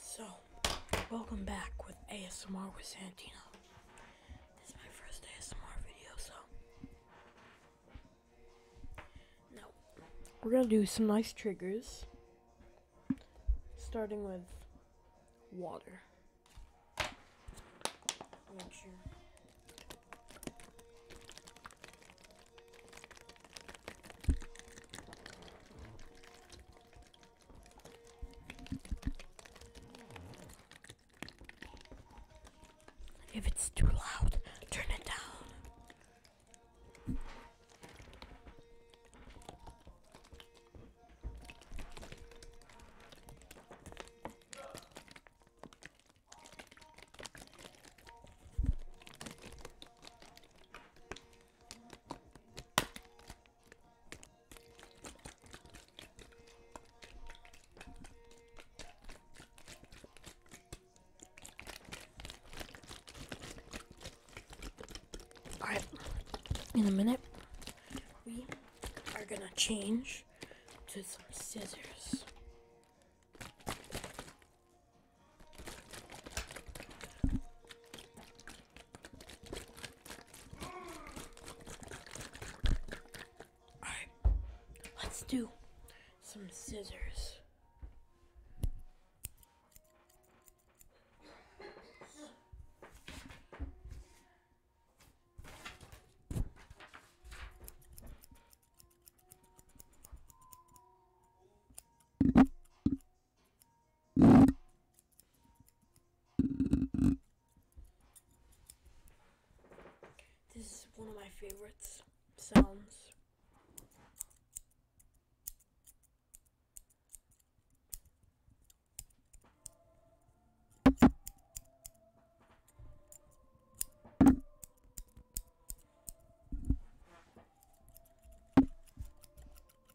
So, welcome back with ASMR with Santino. This my first ASMR video, so. Now, we're gonna do some nice triggers. Starting with water. If it's too loud, turn it down. Alright, in a minute, we are gonna change to some scissors. Alright, let's do some scissors. This is one of my favorite sounds.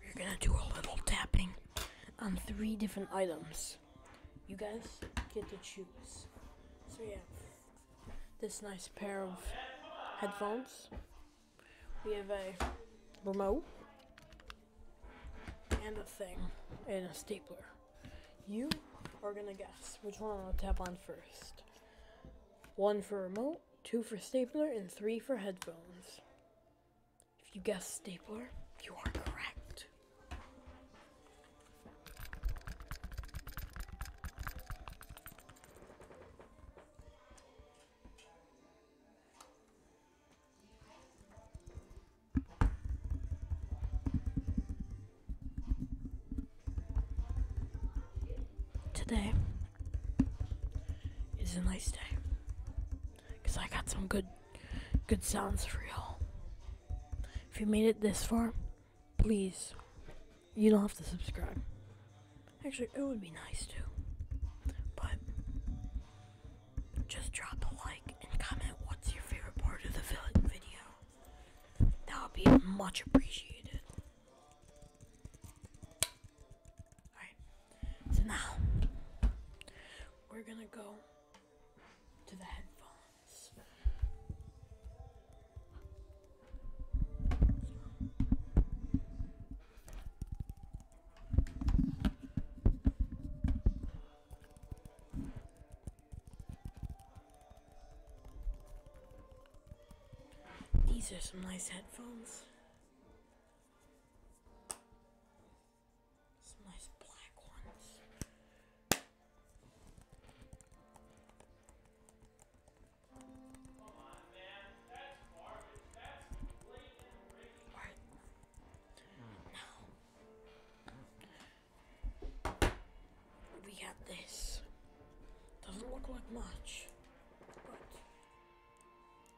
we're gonna do a little tapping on three different items. You guys get to choose. So yeah, this nice pair of headphones. We have a remote and a thing and a stapler. You are gonna guess which one I'll tap on first. One for a remote two for stapler, and three for headphones. If you guessed stapler, you are correct. Today, it's a nice day. Cause I got some good good sounds for y'all. If you made it this far, please you don't have to subscribe. Actually it would be nice too. But just drop a like and comment what's your favorite part of the video. That would be much appreciated. Alright, so now we're gonna go to the headphones. These are some nice headphones. Some nice black ones. Alright. Now, we got this. Doesn't look like much, but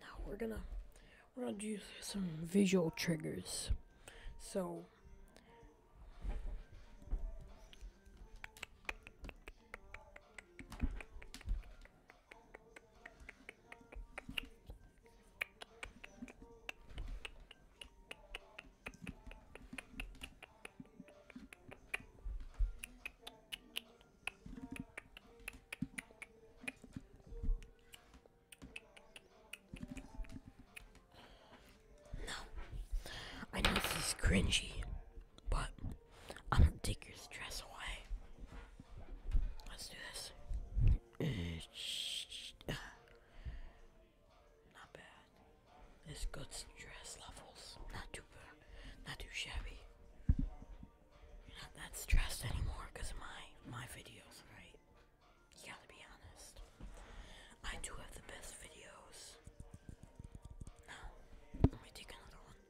Now we're gonna we're gonna do some visual triggers. So no, I know this is cringy, but I'm gonna take your stress away. Let's do this. Eh, Not bad. It's good stress levels. Not too bad, not too shabby. not that stressed anymore of my my videos, right? You gotta be honest. I do have the best videos. let me take another one.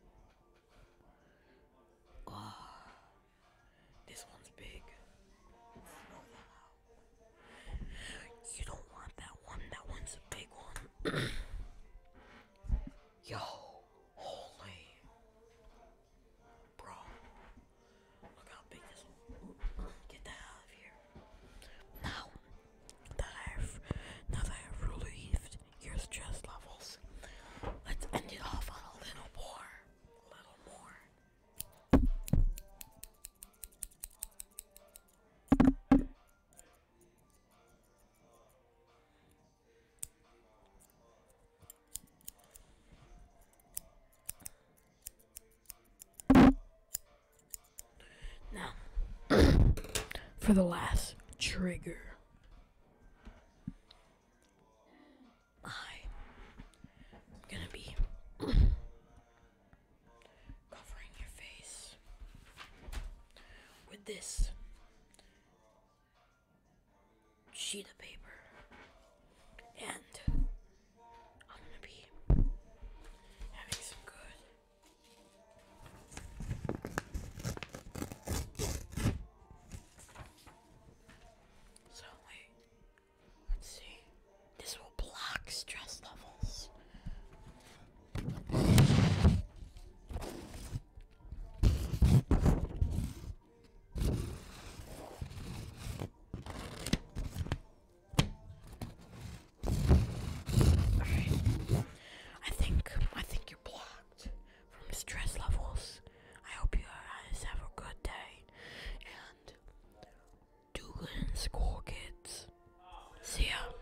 Ah, this one's big. You don't want that one. That one's a big one. Yo, holy. Bro, look how big this one. Get that out of here. Now that I have, now that I have relieved your stress levels, let's end it off on a little more. A little more. Now, for the last trigger, I'm gonna be covering your face. With this sheet of paper. And I'm gonna be having some good. So, Let's see. This will block stress levels. I think I think you're blocked from stress levels. I hope you guys have a good day and do good in school, kids. See ya.